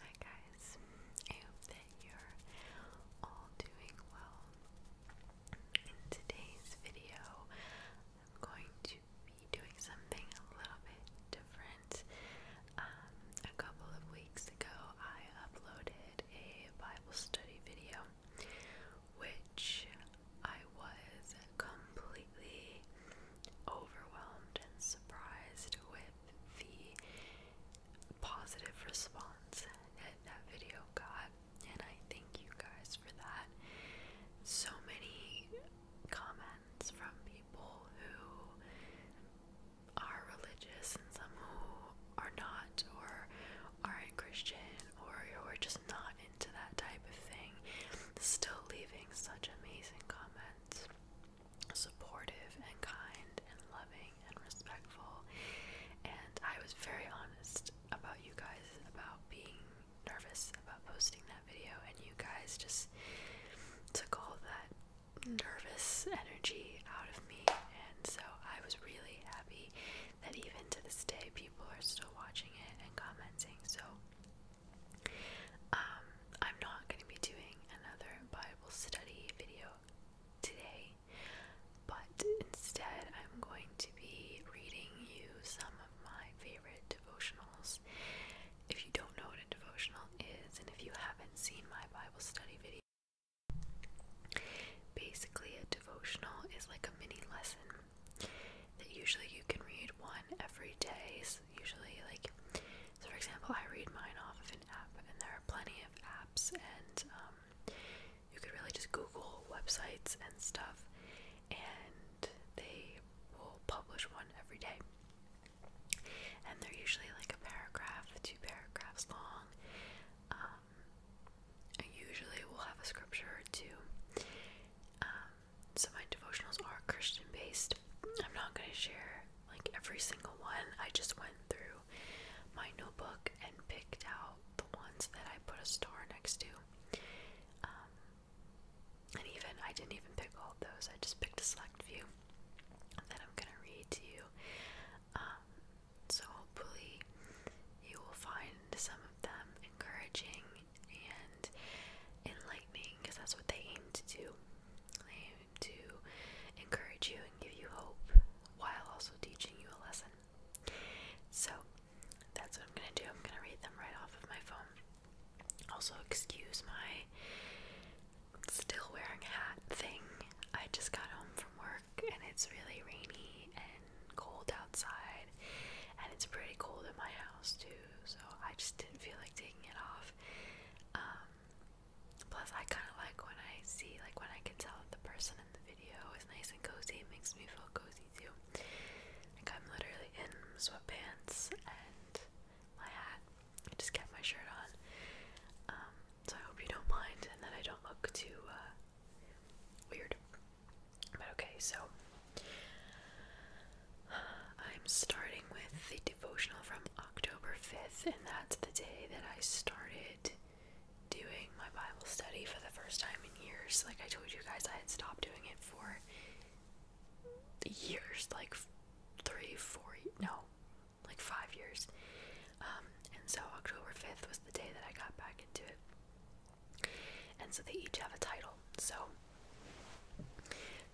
Hi guys, I hope that you're all doing well. In today's video, I'm going to be doing something a little bit different. Um, a couple of weeks ago, I uploaded a Bible study video, which I was completely overwhelmed and surprised with the positive response that that video got, and I thank you guys for that. So many comments from people who are religious and some who are not or aren't Christian or who are just not into that type of thing, still leaving such amazing comments. Supportive and kind and loving and respectful. And I was very honest about you guys about being nervous about posting that video, and you guys just took all that nervous energy out of me, and so I was really happy that even to this day, people are still watching it and commenting. So, um, I'm not going to be doing another Bible study video today, but instead, I'm going to be reading you some of my favorite devotionals. If you don't know what a devotional is, and if you haven't seen my Bible study video, Basically, a devotional is like a mini lesson that usually you can read one every day. usually, like, so for example, I read mine off of an app, and there are plenty of apps, and um, you could really just Google websites and stuff, and they will publish one every day. And they're usually like a paragraph, two paragraphs long. Um, I usually will have a scripture or two. Um, so my devotionals are Christian based. I'm not going to share like every single one. I just went through my notebook and picked out the ones that I put a star next to. Um, and even I didn't even pick all of those. I just picked a select few that I'm gonna read to you. Um, so hopefully you will find some of them encouraging and enlightening because that's what they aim to do. to encourage you and give you hope while also teaching you a lesson. So that's what I'm going to do. I'm going to read them right off of my phone. Also, excuse my still wearing hat thing. I just got home from work and it's really rainy and cold outside, and it's pretty cold in my house too, so I just didn't feel like taking it off. Um, plus, I kind of like when I see, like, when I can tell the person in the video is nice and cozy, it makes me feel cozy too. Like, I'm literally in sweatpants and my hat. I just kept my shirt on. Um, so I hope you don't mind and that I don't look too uh, weird. But okay, so I'm starting with the devotional from October 5th, and that's the day that I started doing my Bible study for the first time in years. Like I told you guys, I had stopped doing it for years like three, four, no, like five years. Um, and so October 5th was the day that I got back into it. And so they each have a title. So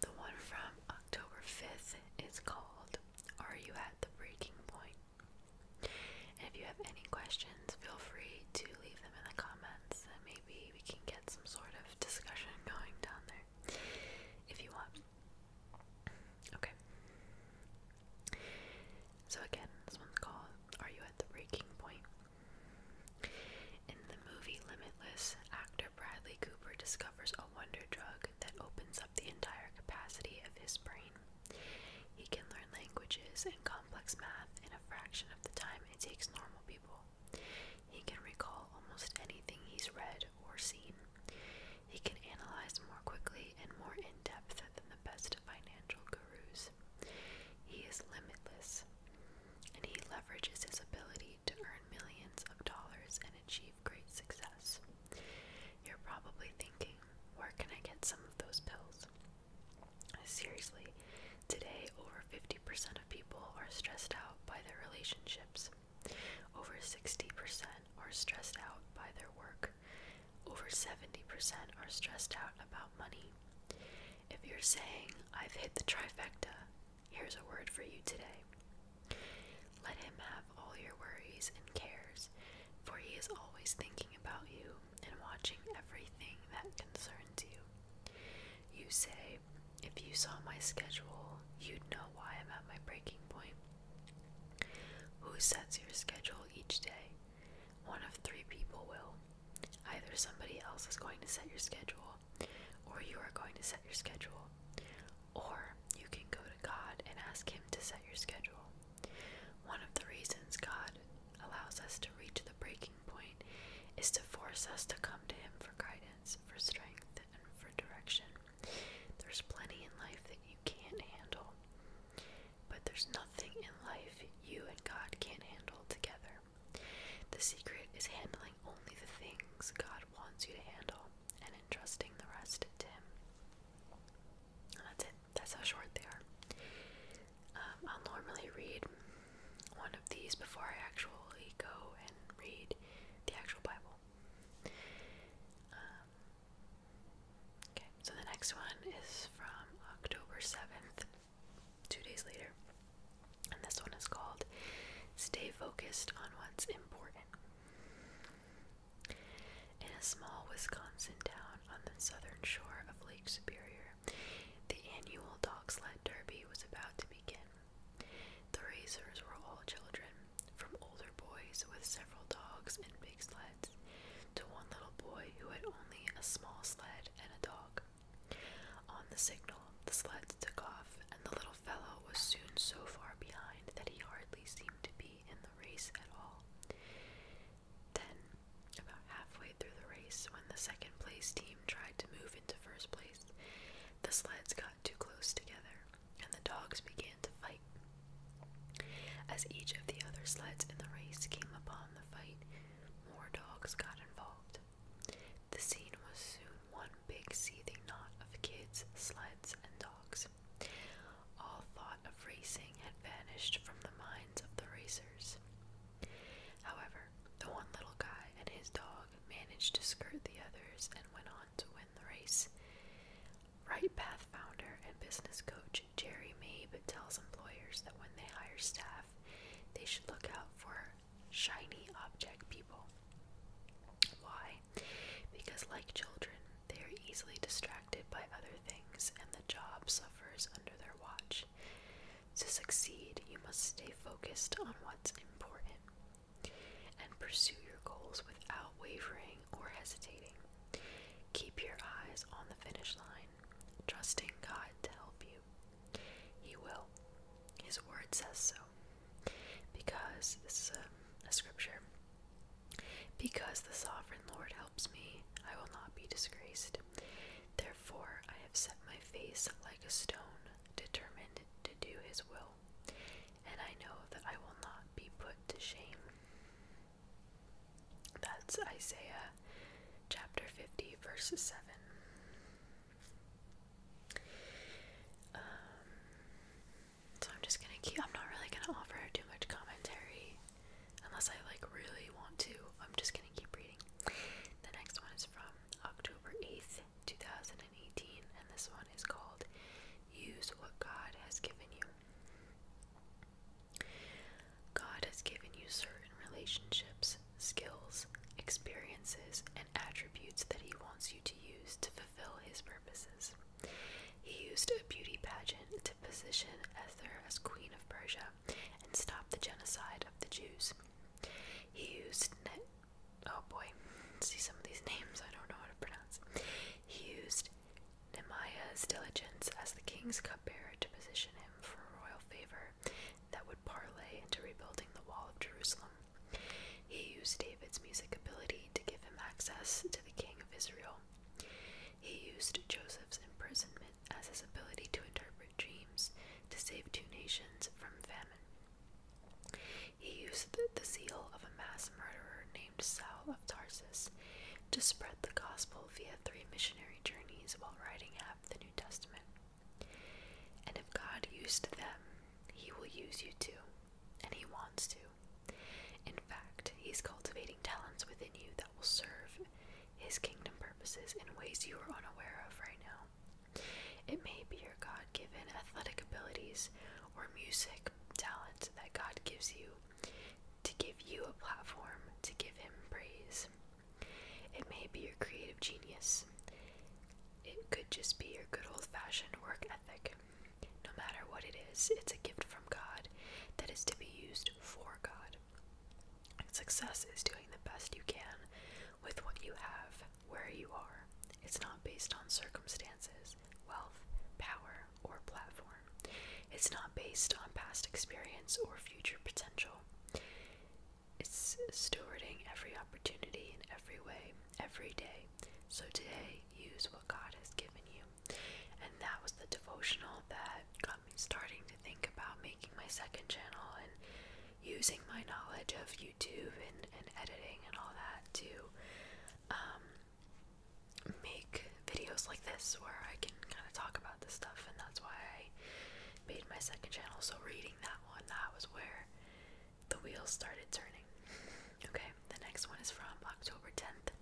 the one from October 5th is called Are You at the Breaking Point? And if you have any questions, feel free to leave them in the comments and maybe we can get some sort of discussion going down there if you want. Okay. So again, this one's called Are You at the Breaking Point? In the movie Limitless, actor Bradley Cooper discovers a wonder drug that opens up the entire capacity of his brain. He can learn languages and complex math in a fraction of the time it takes normal people. He can recall almost anything he's read or seen. He can analyze more quickly and more in depth than the best financial gurus. He is limitless, and he leverages his ability to earn millions of dollars and achieve great success. You're probably thinking, where can I get some of those pills? Seriously, today over 50% of people are stressed out by their relationships. Over 60% are stressed out by their work. Over 70% are stressed out about money. If you're saying, I've hit the trifecta, here's a word for you today. Let him have all your worries and cares, for he is always thinking about you and watching everything that concerns you. You say, If you saw my schedule, you'd know why I'm at my breaking point. Who sets your schedule each day? One of three people will. Either somebody else is going to set your schedule, or you are going to set your schedule, or you can go to God and ask Him to set your schedule. One of the reasons God allows us to reach the breaking point is to force us to come to Him for guidance, for strength, and for direction. There's plenty in life that you can't handle. But there's nothing in life you and God can't handle together. The secret is handling only the things God wants you to handle and entrusting the rest to Him. that's it. That's how short they are. Um, I'll normally read one of these before I actually go and read the actual Bible. Um, Okay, so the next one is from October 7th, two days later. And this one is called Stay Focused on What's Important. In a small Wisconsin town on the southern shore of Lake Superior, the annual dog sled derby was about to begin. The racers were all children, from older boys with several dogs and big sleds to one little boy who had only a small sled and a dog. On the signal, the sleds took off, and the little fellow was soon so far behind that he hardly seemed to be in the race at all. Then, about halfway through the race, when the second place team tried to move into first place, the sleds got too close together and the dogs began to fight. As each of the other sleds in the race came upon the fight, more dogs got involved. The scene was soon one big seething knot of kids, sleds, and dogs. All thought of racing had vanished from the minds of the racers. However, the one little guy and his dog managed to skirt the others and went on to win the race. Right Path founder and business coach Jerry Mabe tells employers that when they hire staff, they should look out for shiny object people. Why? Because, like children, they are easily distracted by other things and the job suffers under their watch. To succeed, you must stay focused on what's important and pursue your goals without wavering pausing or hesitating. Keep your eyes on the finish line, trusting God to help you. He will. His word says so. Because, this is a scripture, because the sovereign Lord helps me, I will not be disgraced. Therefore, I have set my face like a stone, determined to do his will, and I know that I will not be put to shame. That's Isaiah chapter 50, verses 7. Um, so I'm just gonna keep, I'm not really gonna offer too much commentary unless I like really want to. I'm just gonna keep reading. The next one is from October 8th, 2018, and this one is called Use What God Has Given You. God has given you certain relationships, skills, experiences, and attributes that He wants you to use to fulfill His purposes. He used a beauty pageant to position Esther as Queen of Persia and stop the genocide of the Jews. He used net. Oh boy, see some of these names I don't know how to pronounce. He used Nehemiah's diligence as the king's cupbearer to position him for royal favor that would parlay into rebuilding the wall of Jerusalem. He used David's music ability to give him access to the king of Israel. He used Joseph's imprisonment as his ability to interpret dreams to save two nations from famine. He used the, the zeal of a mass murderer Saul of Tarsus to spread the gospel via three missionary journeys while writing half the New Testament. And if God used them, He will use you too, and He wants to. In fact, He's cultivating talents within you that will serve His kingdom purposes in ways you are unaware of right now. It may be your God given athletic abilities or music talent that God gives you to give you a platform to give him praise. It may be your creative genius, it could just be your good old fashioned work ethic. No matter what it is, it's a gift from God that is to be used for God. Success is doing the best you can with what you have, where you are. It's not based on circumstances, wealth, power, or platform. It's not based on past experience or future potential. It's stewarding every opportunity in every way, every day. So today, use what God has given you. And that was the devotional that got me starting to think about making my second channel and using my knowledge of YouTube and, editing and all that to um, make videos like this where I can kind of talk about this stuff, and that's why I made my second channel. So, reading that one, that was where the wheels started turning. Okay, the next one is from October 10th,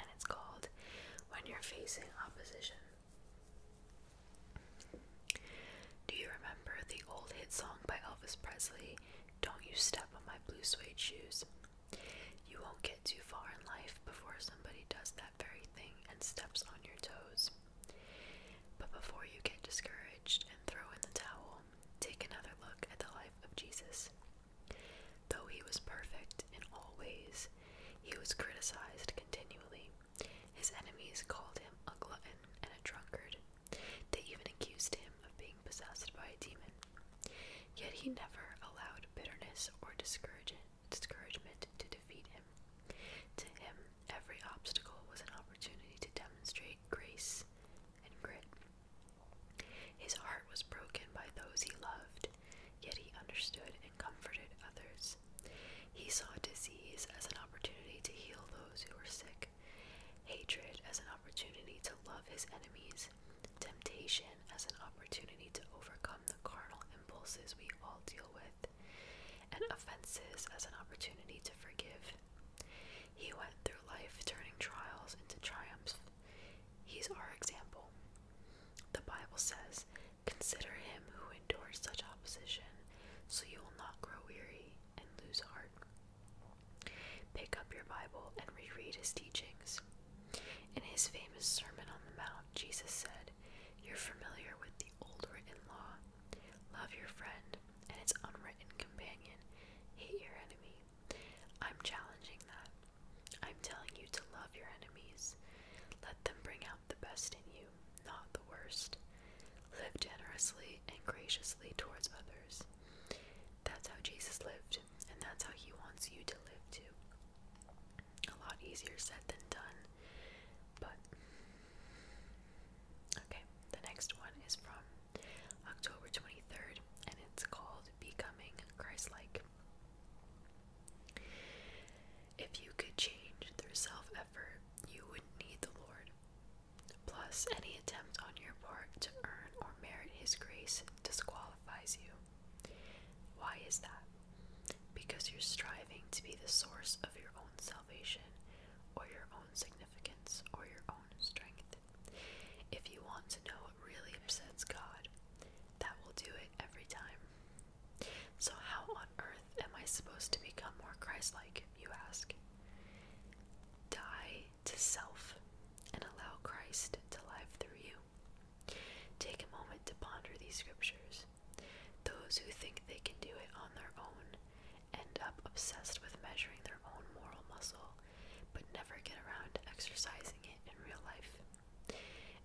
and it's called When You're Facing Opposition. Do you remember the old hit song by Elvis Presley, Don't You Step on My Blue Suede Shoes? You won't get too far in life before somebody does that very thing and steps on your toes. But before you get discouraged and throw in the towel, take another look at the life of Jesus. Though he was perfect in all ways, he was criticized continually. His enemies called him a glutton and a drunkard. They even accused him of being possessed by a demon. Yet he never allowed bitterness or discouragement to defeat him. To him, every obstacle was an opportunity to demonstrate grace and grit. His heart was broken by those he loved, yet he understood and comforted others. He saw disease as an opportunity to heal those who were sick, hatred as an opportunity to opportunity to love his enemies, temptation as an opportunity to overcome the carnal impulses we all deal with, and offenses as an opportunity to forgive. He went through life turning trials into triumphs. He's our example. The Bible says, Consider him who endured such opposition, so you will not grow weary and lose heart. Pick up your Bible and reread his teachings. In his famous Sermon on the Mount, Jesus said, You're familiar with the old written law. Love your friend and its unwritten companion. Hate your enemy. I'm challenging that. I'm telling you to love your enemies. Let them bring out the best in you, not the worst. Live generously and graciously towards others. That's how Jesus lived, and that's how He wants you to live too. A lot easier said than done, but. Okay, the next one is from October 23rd, and it's called Becoming Christlike. If you could change through self effort, you would need the Lord. Plus, any attempt on your part to earn or merit His grace disqualifies. Why is that? Because you're striving to be the source of your own salvation, or your own significance, or your own strength. If you want to know what really upsets God, that will do it every time. So, how on earth am I supposed to become more Christ like, you ask? Die to self and allow Christ to live through you. Take a moment to ponder these scriptures. Those who think they can do it on their own end up obsessed with measuring their own moral muscle, but never get around exercising it in real life.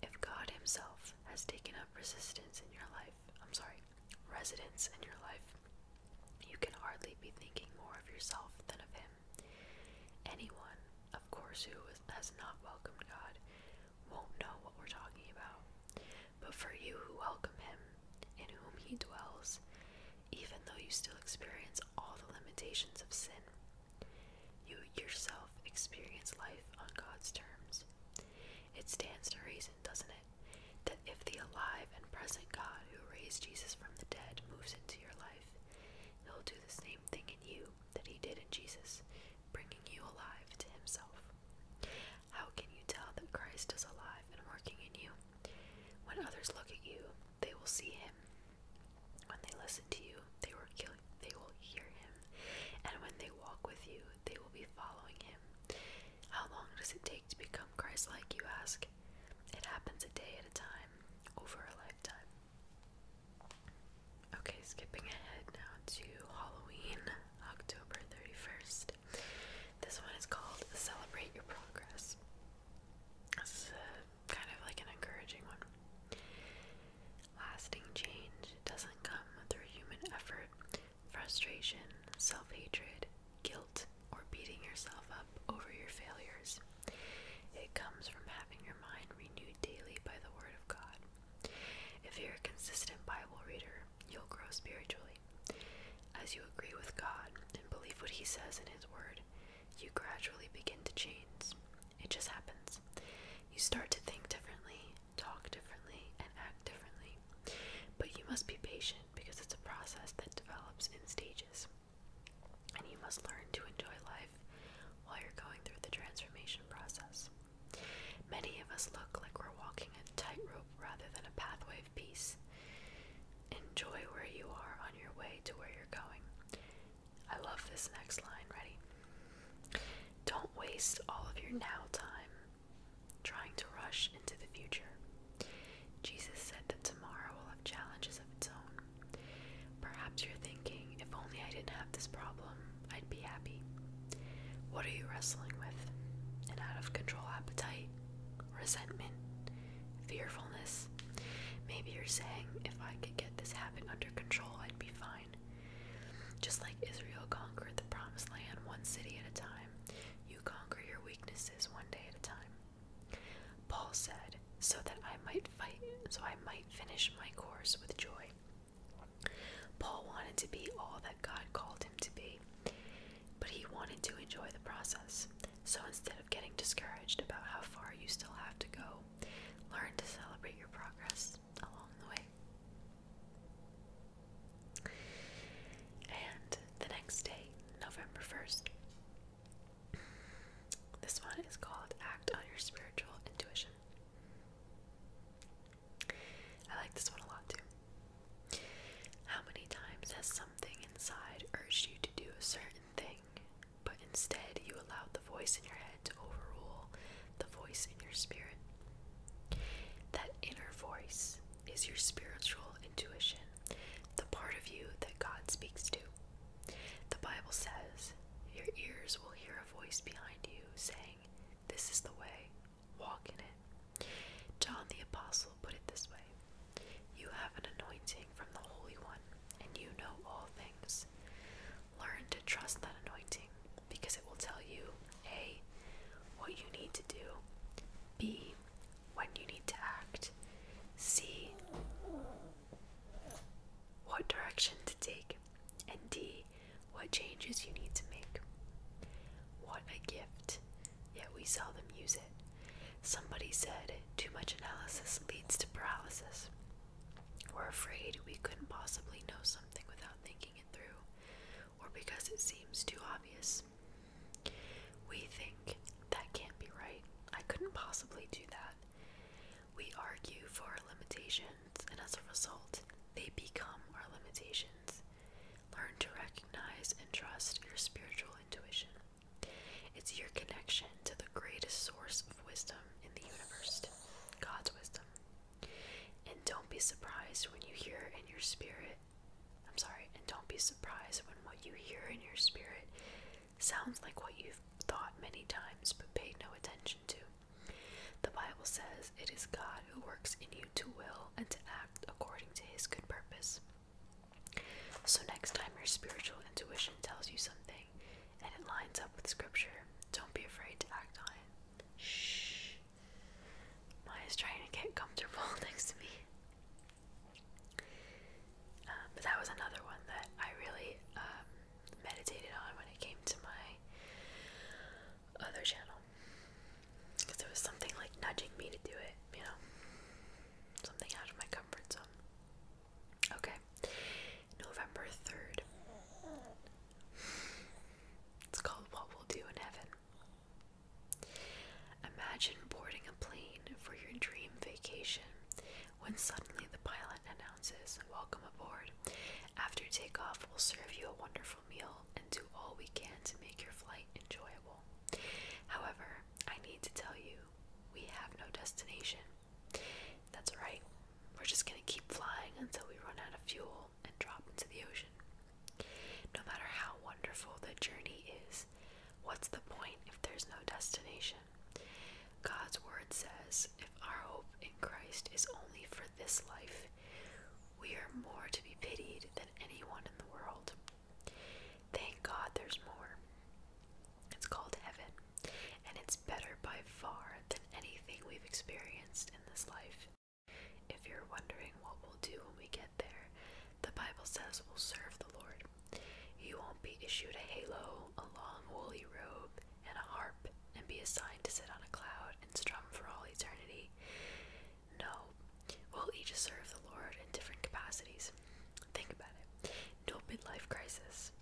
If God Himself has taken up resistance in your life, I'm sorry, residence in your life, you can hardly be thinking more of yourself than of Him. Anyone, of course, who has not welcomed God won't know what we're talking about. But for you who welcome Him, in whom He dwells, even though you still experience all the limitations of sin, you yourself experience life on God's terms. It stands to reason, doesn't it, that if the alive and present God who raised Jesus from the dead moves into your life, He'll do the same thing in you that he did in Jesus, bringing you alive to himself. How can you tell that Christ is alive and working in you? When others look at you, they will see him. When they listen to you, they will hear him. And when they walk with you, they will be following him. How long does it take to become Christ like, you ask? It happens a day at a time, over a lifetime. Okay, skipping ahead now to Halloween, October 31st. This one is called Celebrate Your Progress. This is a, kind of like an encouraging one. Lasting change doesn't come through human effort, frustration, self hatred, guilt, or beating yourself up over your failures. It comes from having your mind renewed daily by the Word of God. If you're a consistent Bible reader, you'll grow spiritually. As you agree with God and believe what He says in His Word, you gradually begin to change. It just happens. You start to think differently, talk differently, and act differently. But you must be patient because it's a process that develops in stages and you must learn to enjoy life while you're going through the transformation process. Many of us look like we're walking a tightrope rather than a pathway of peace. Enjoy where you are on your way to where you're going. I love this next line, ready? Don't waste all of your now time trying to rush into the future. Jesus said that tomorrow will have challenges of its own. Perhaps you're thinking, if only I didn't have this problem, I'd be happy. What are you wrestling with? An out of control appetite? Resentment? Fearfulness? Maybe you're saying, if I could get this habit under control, I'd be fine. Just like Israel conquered the promised land one city at a time, you conquer your weaknesses one day at a time. Paul said, so that I might fight, so I might finish my course with joy. Paul wanted to be all that God called him to be, but he wanted to enjoy the process. So instead of getting discouraged about how far you still have to go, learn to celebrate your progress along the way. And the next day, November 1st, this one is called Act on Your Spiritual Intuition. I like this one a lot too. How many times has something inside urged you to do a certain thing, but instead you allowed the voice in your head to overrule the voice in your spirit? That inner voice is your spiritual intuition, the part of you that God speaks to. The Bible says, Your ears will hear a voice behind you saying, This is the way, walk in it. John the Apostle put it this way You have an anointing from the Holy One, and you know all things. Learn to trust that anointing because it will tell you A. What you need to do, B. When you need to act, C what direction to take, and D, what changes you need to make. What a gift, yet we seldom use it. Somebody said, too much analysis leads to paralysis. We're afraid we couldn't possibly know something without thinking it through, or because it seems too obvious. We think, that can't be right. I couldn't possibly do that. We argue for our limitations, and as a result, they become our limitations. Learn to recognize and trust your spiritual intuition. It's your connection to the greatest source of wisdom in the universe, God's wisdom. And don't be surprised when you hear in your spirit, I'm sorry, and don't be surprised when what you hear in your spirit Sounds like what you've thought many times but paid no attention to. The Bible says it is God who works in you to will and to act according to his good purpose. So, next time your spiritual intuition tells you something and it lines up with scripture, don't be afraid to act on it. Shh. Maya's trying to get comfortable next to me. Um, but that was another one that I really um, meditated on when it came to my other channel. Because it was something like nudging me to do it, you know? Something out of my comfort zone. Okay, November 3rd. It's called What We'll Do in Heaven. Imagine boarding a plane for your dream vacation when suddenly the pilot announces, Welcome aboard. After takeoff, we'll serve you a wonderful meal and do all we can to make your flight enjoyable. However, I need to tell you, we have no destination. That's right, we're just gonna keep flying until we run out of fuel and drop into the ocean. No matter how wonderful the journey is, what's the point if there's no destination? God's word says if our hope in Christ is only for this life, we are more to be pitied than anyone in the world. Thank God there's more. It's called heaven, and it's better by far than anything we've experienced in this life. If you're wondering what we'll do when we get there, the Bible says we'll serve the Lord. You won't be issued a halo, a long woolly robe, and a harp, and be assigned to sit on a cloud and strum for all eternity. No, we'll each serve the Lord in different capacities. Think about it no midlife crisis,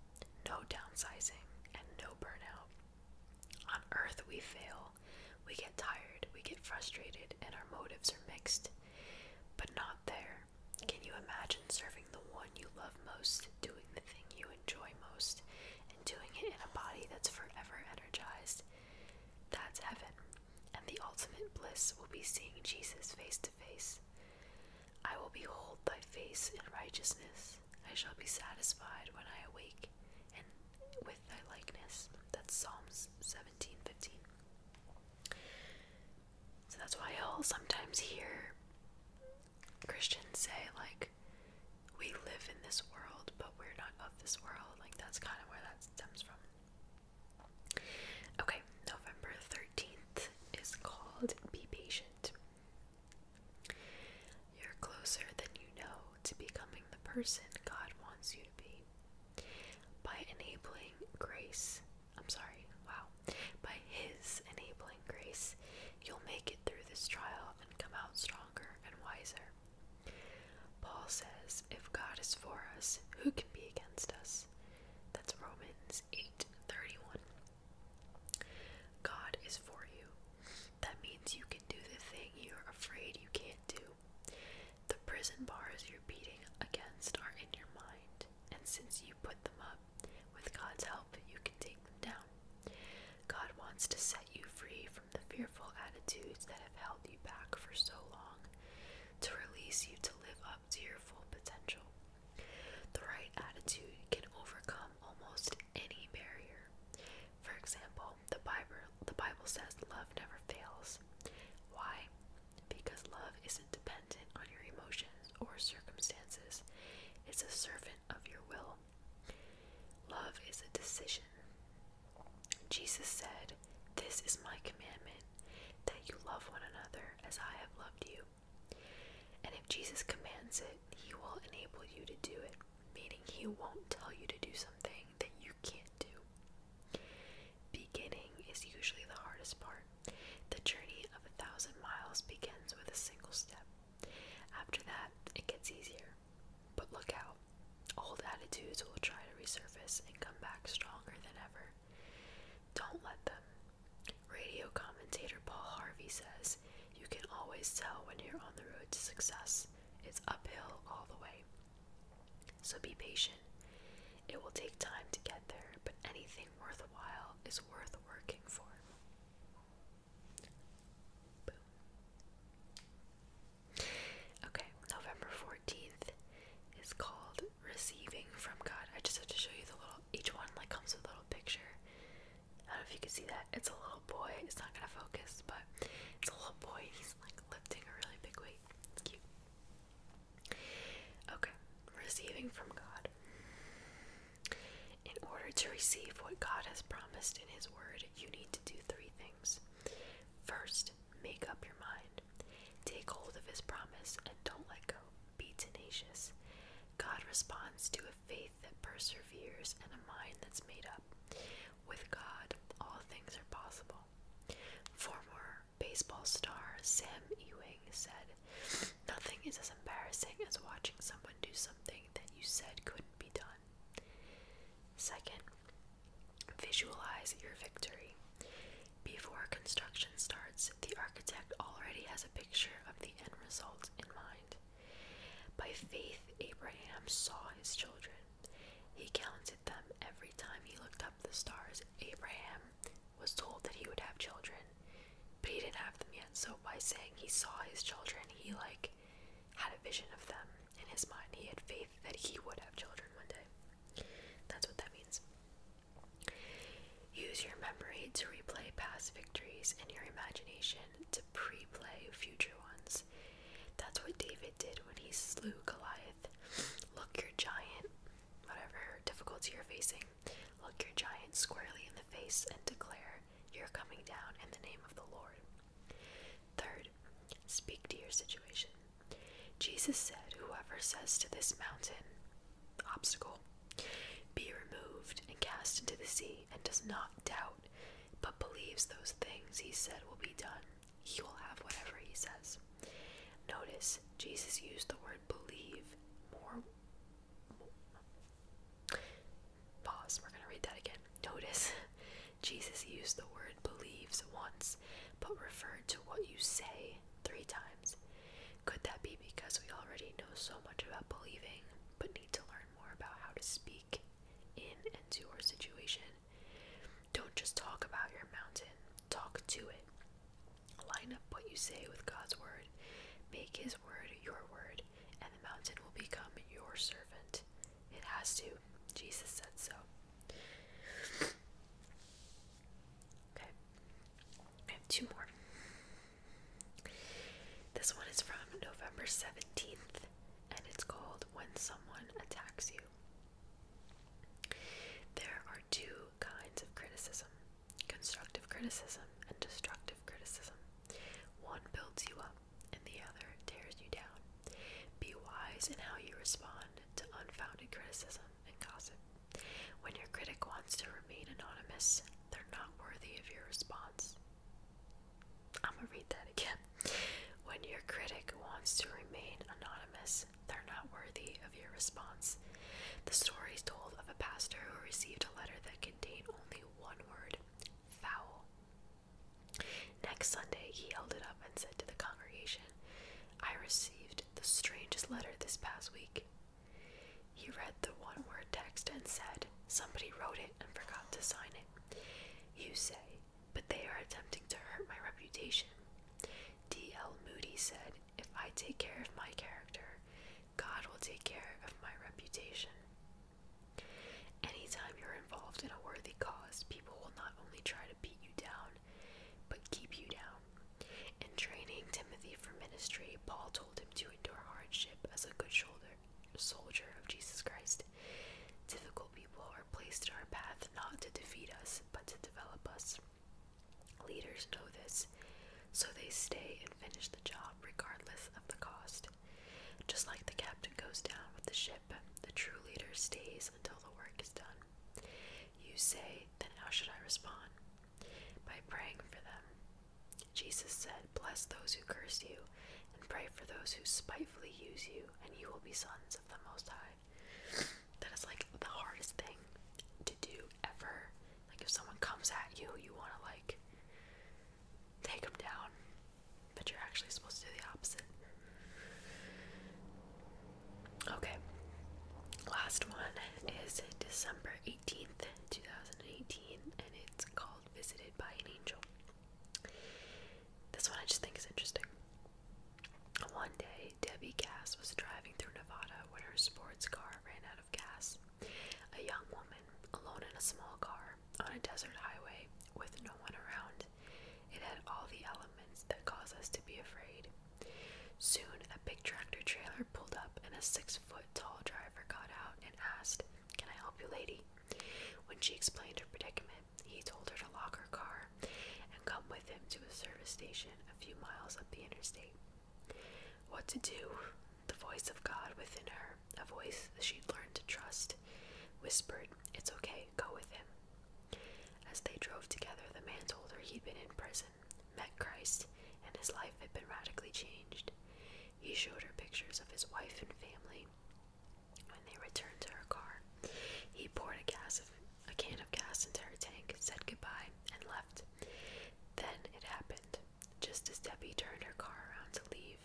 no downsizing, and no burnout. On earth, we fail, we get tired, we get frustrated, and our motives are mixed. But not there. Can you imagine serving the one you love most, doing the thing you enjoy most, and doing it in a body that's forever energized? That's heaven, and the ultimate bliss will be seeing Jesus face to face. I will behold thy face in righteousness. I shall be satisfied when I awake and with thy likeness. That's Psalms 17:15. So that's why I'll sometimes hear Christians say, like, we live in this world, but we're not of this world. Like, that's kind of where that stems from. Okay, November 13th is called Be Patient. You're closer than you know to becoming the person God wants you to be. By enabling grace I'm sorry, wow, by His enabling grace, you'll make it through this trial and come out stronger and wiser. Paul says, If God is for us, who can be against us? That's Romans 8 31. God is for you. That means you can do the thing you're afraid you can't do. The prison bars you're beating against are in your mind, and since you put them up, with God's help, you can take them down. God wants to set you free from the fearful attitudes that have held you back for so long, to release you to live up to your full potential. The right attitude can overcome almost any barrier. For example, the Bible, the Bible says love never fails. Why? Because love isn't dependent on your emotions or circumstances, it's a servant of your will. Love is a decision. Jesus said, This is my commandment, that you love one another as I have loved you. And if Jesus commands it, he will enable you to do it, meaning he won't tell you to do something that you can't do. Beginning is usually the hardest part. The journey of a thousand miles begins with a single step. After that, it gets easier. But look out, old attitudes will try to resurface and come back stronger than ever. Don't let them. Radio commentator Paul Harvey says, You can always tell when you're on the road to success. It's uphill all the way. So be patient. It will take time to get there, but anything worthwhile is worth working for. Okay, November 14th is called Receiving from God. I just have to show you the little, each one like comes with a little picture. I don't know if you can see that. It's a little boy. It's not gonna focus, but it's a little boy. He's like lifting a really big weight. It's cute. Okay, receiving from God. In order to receive what God has promised in His Word, you need to do three things. First, make up your mind. Take hold of His promise and don't let go. Be tenacious. God responds to a faith that perseveres and a mind that's made up. With God, all things are possible. Former baseball star Sam Ewing said, Nothing is as embarrassing as watching someone do something that you said couldn't be done. Second, visualize your victory. Before construction starts, the architect already has a picture of the end result in mind. By faith, Abraham saw his children. He counted them every time he looked up the stars. Abraham was told that he would have children, but he didn't have them yet. So by saying he saw his children, he like had a vision of them in his mind. He had faith that he would have children one day. That's what that means. Use your memory to replay past victories and your imagination to pre play future ones. That's what David did when he slew Goliath. Look your giant, whatever difficulty you're facing, Look your giant squarely in the face and declare, You're coming down in the name of the Lord. Third, speak to your situation. Jesus said, Whoever says to this mountain, obstacle, be removed and cast into the sea, and does not doubt, but believes those things he said will be done, he will have whatever he says. Notice Jesus used the word believe more Pause. We're going to read that again. Notice Jesus used the word believes once, but referred to what you say three times. Could that be because we already know so much about believing, but need to learn more about how to speak in and to our situation? Don't just talk about your mountain, talk to it. Line up what you say with God's word. Make his word your word, and the mountain will become your servant. It has to. Jesus said so. Okay. I have two more. This one is from November 17th, and it's called When Someone Attacks You. There are two kinds of criticism constructive criticism and destructive criticism. One builds you up and the other tears you down. Be wise in how you respond to unfounded criticism and gossip. When your critic wants to remain anonymous, they're not worthy of your response. I'm gonna read that again. When your critic wants to remain anonymous, they're not worthy your response. The story is told of a pastor who received a letter that contained only one word foul. Next Sunday, he held it up and said to the congregation, I received the strangest letter this past week. He read the one word text and said, Somebody wrote it and forgot to sign it. You say, but they are attempting to hurt my reputation. D.L. Moody said, If I take care of my character, God will take care of my reputation. Any time you're involved in a worthy cause, people will not only try to beat you down, but keep you down. In training Timothy for ministry, Paul told him to endure hardship as a good shoulder, soldier of Jesus Christ. Difficult people are placed in our path not to defeat us, but to develop us. Leaders know this, so they stay and finish the job regardless of the cost. Just like the captain goes down with the ship, the true leader stays until the work is done. You say, then how should I respond? By praying for them. Jesus said, Bless those who curse you, and pray for those who spitefully use you, and you will be sons of the Most High. That is like the hardest thing to do ever like if someone comes at you, you want to like take them down, but you're actually supposed to do the opposite. Okay. Last one is December 18th, 2018, and it's called Visited by an Angel. This one I just think is interesting. One day, Debbie Cass was driving through Nevada when her sports car ran out of gas. A young woman, alone in a small car, on a desert highway, with no one around. It had all the elements that cause us to be afraid. Soon, a big tractor trailer pulled up, and a six foot tall driver got out and asked, Can I help you, lady? When she explained her predicament, he told her to lock her car and come with him to a service station a few miles up the interstate. What to do? The voice of God within her, a voice she'd learned to trust, whispered, It's okay, go with him. As they drove together, the man told her he'd been in prison, met Christ, and his life had been radically changed. He showed her pictures of his wife and family. When they returned to her car, he poured a, can of gas into her tank, said goodbye, and left. Then it happened. Just as Debbie turned her car around to leave,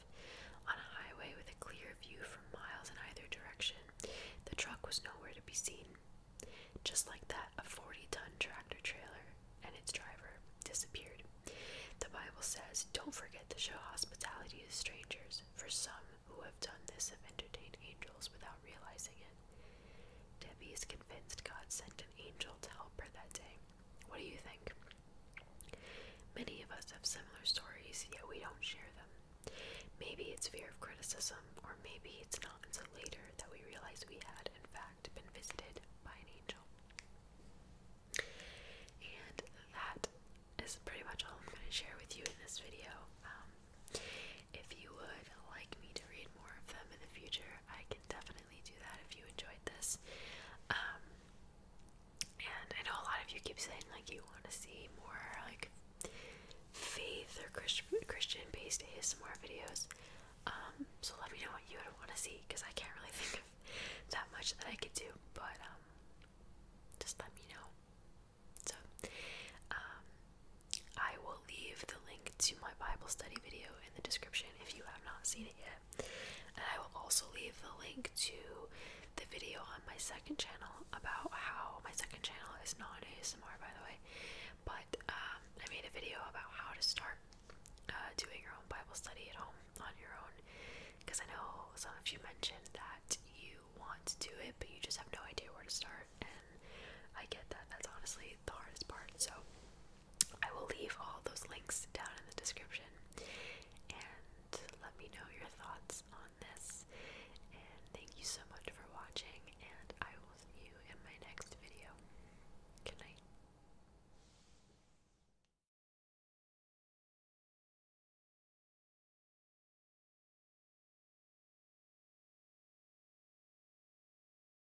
on a highway with a clear view for miles in either direction, the truck was nowhere to be seen. Just like that, a 40 ton tractor trailer and its driver disappeared. The Bible says, Don't forget to show hospitality to strangers, for some who have done this have entertained angels without realizing it. Debbie is convinced God sent an angel to help her that day. What do you think? Many of us have similar stories, yet we don't share them. Maybe it's fear of criticism, or maybe it's not until later that we realize we had, in fact, been visited by an angel. And that is pretty much all I'm going to share with you in this video. Um, if you would like me to read more of them in the future, I can definitely definitely do that if you enjoyed this. Um, and I know a lot of you keep saying like you want to see more like faith or Christian Christian based ASMR videos. Um, so let me know what you would want to see because I can't really think of that much that I could do, but um, just let me know. So um, I will will leave the link to my Bible study video in the description if you have not seen it yet. And I will also leave the link to the video on my second channel about how my second channel is not ASMR, by the way, but um, I made a video about how to start uh, doing your own Bible study at home on your own because I know some of you mentioned that you want to do it, but you just have no idea where to start. And I get that that's honestly the hardest part. So I will leave all those links down in the description. And let me know your thoughts on this. And thank you so much for watching, and I will see you in my next video. Good night.